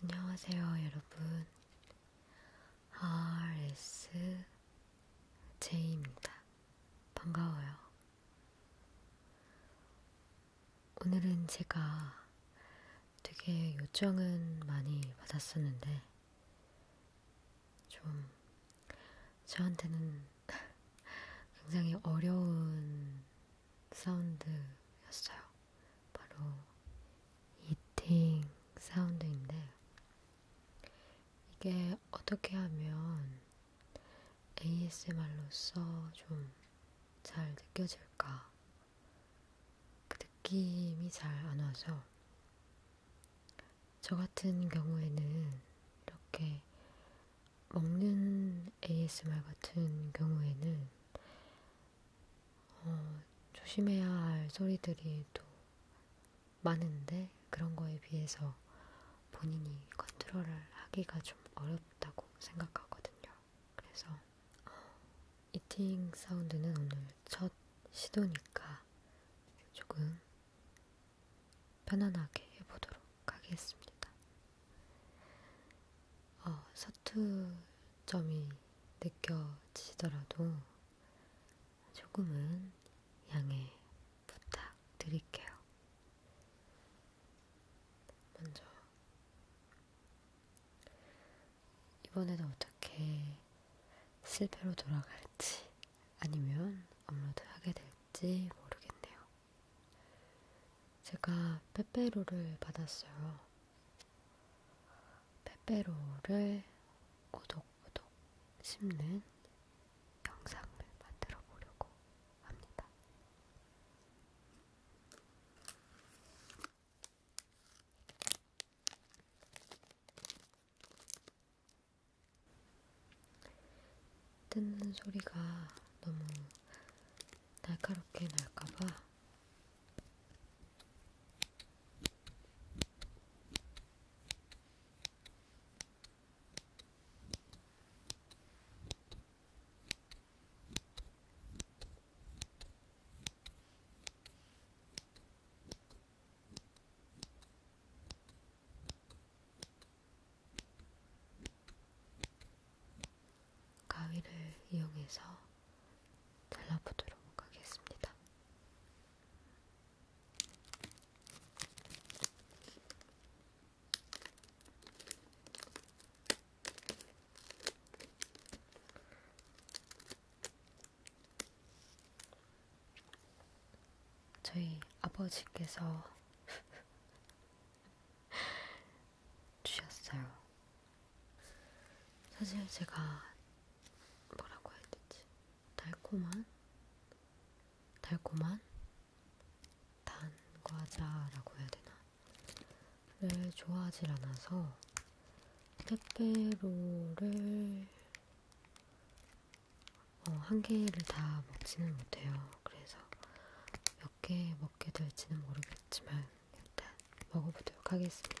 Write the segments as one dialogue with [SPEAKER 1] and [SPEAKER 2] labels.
[SPEAKER 1] 안녕하세요, 여러분. RSJ입니다. 반가워요. 오늘은 제가 되게 요청은 많이 받았었는데, 좀 저한테는 굉장히 어려운 사운드였어요. 바로 이팅 사운드인데 이게 어떻게 하면 ASMR로서 좀 잘 느껴질까? 그 느낌이 잘 안 와서 저 같은 경우에는 이렇게 먹는 ASMR 같은 경우에는 어, 조심해야 할 소리들이 또 많은데 그런 거에 비해서 본인이 컨트롤을 하기가 좀 어렵다고 생각하거든요. 그래서 어, 이팅 사운드는 오늘 첫 시도니까 조금 편안하게 해보도록 하겠습니다. 어, 서투점이 느껴지더라도 조금은 양해 부탁드릴게요. 먼저 이번에도 어떻게 실패로 돌아갈지 아니면 업로드하게 될지 모르겠네요. 제가 페페로를 받았어요. 페페로를 오독오독 씹는 영상을 만들어 보려고 합니다. 뜯는 소리가 너무 날카롭게 날까봐 가위를 이용해서 잘라보도록 하겠습니다. 저희 아버지께서 주셨어요. 사실 제가 뭐라고 해야 되지? 달콤한? 달콤한? 단 과자라고 해야 되나?를 좋아하질 않아서 페페로를 어, 한 개를 다 먹지는 못해요. 그래서 몇 개 먹게 될지는 모르겠지만 일단 먹어보도록 하겠습니다.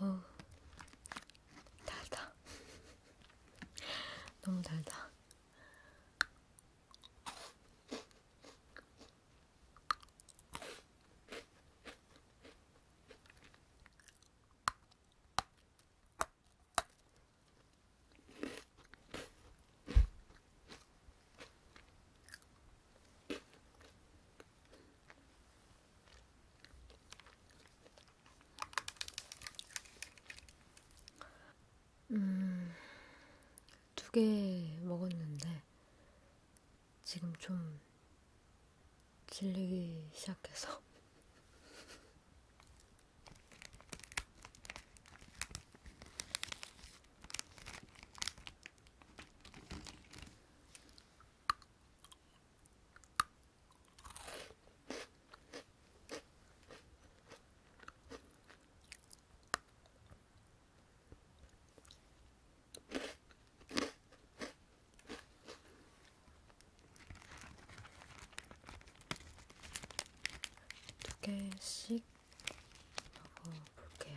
[SPEAKER 1] 어우, 달다. 너무 달다. 음, 두 개 먹었는데, 지금 좀 질리기 시작해서. 두 개씩 먹어볼게요.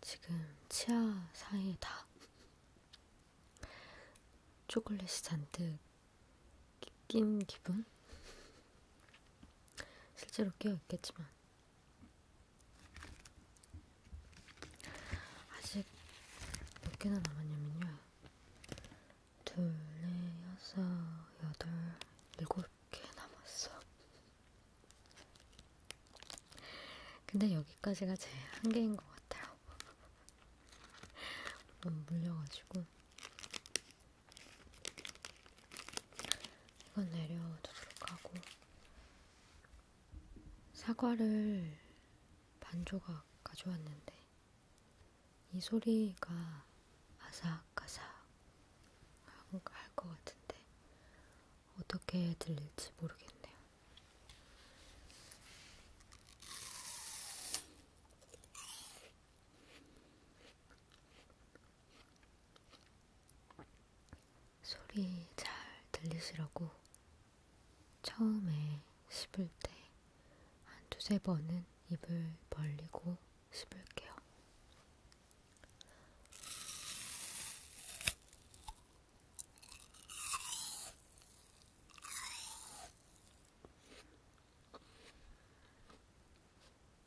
[SPEAKER 1] 지금 치아 사이에 다 초콜릿이 잔뜩 낀 기분? 실제로 깨어있겠지만 아직 몇 개나 남았냐면요. 둘, 넷, 네, 여섯, 여덟, 일곱 개 남았어. 근데 여기까지가 제 한계인 것 같아요. 너무 물려가지고. 이건 내려두도록 하고 사과를 반 조각 가져왔는데 이 소리가 아삭아삭 할 것 같은데 어떻게 들릴지 모르겠네요. 소리 잘 들리시라고 처음에 씹을 때 한 두세 번은 입을 벌리고 씹을게요.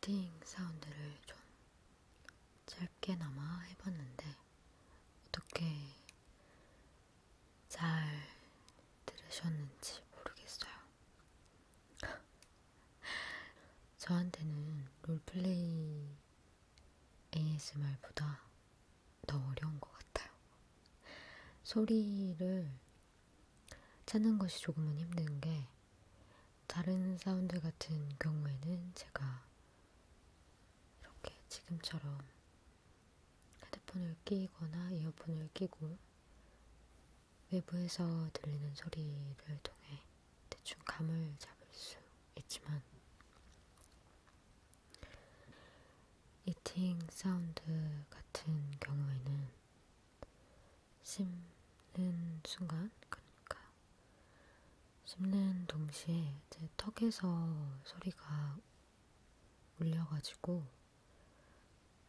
[SPEAKER 1] 히팅 사운드를 좀 짧게나마 해봤는데 어떻게 잘 들으셨는지 모르겠어요. 저한테는 롤플레이 ASMR보다 더 어려운 것 같아요. 소리를 찾는 것이 조금은 힘든 게 다른 사운드 같은 경우에는 제가 이렇게 지금처럼 헤드폰을 끼거나 이어폰을 끼고 외부에서 들리는 소리를 통해 대충 감을 잡을 수 있지만 이팅 사운드 같은 경우에는 씹는 순간 그러니까 씹는 동시에 제 턱에서 소리가 울려가지고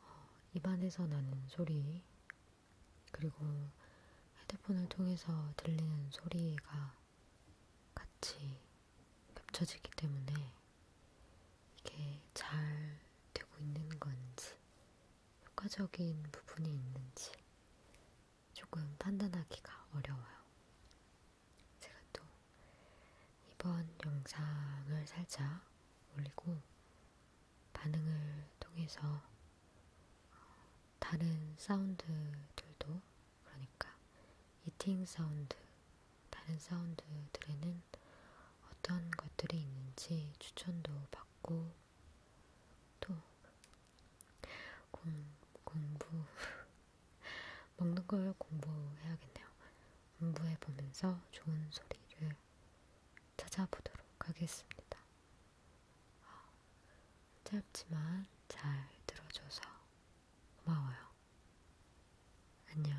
[SPEAKER 1] 어, 입안에서 나는 소리 그리고 헤드폰을 통해서 들리는 소리가 같이 겹쳐지기 때문에 이게 잘 되고 있는 건지 효과적인 부분이 있는지 조금 판단하기가 어려워요. 제가 또 이번 영상을 살짝 올리고 반응을 통해서 어, 다른 사운드들도 그러니까 이팅 사운드, 다른 사운드들에는 어떤 것들이 있는지 추천도 받고 또 공, 공부 먹는 걸 공부해야겠네요. 공부해 보면서 좋은 소리를 찾아보도록 하겠습니다. 짧지만 잘 들어줘서 고마워요. 안녕.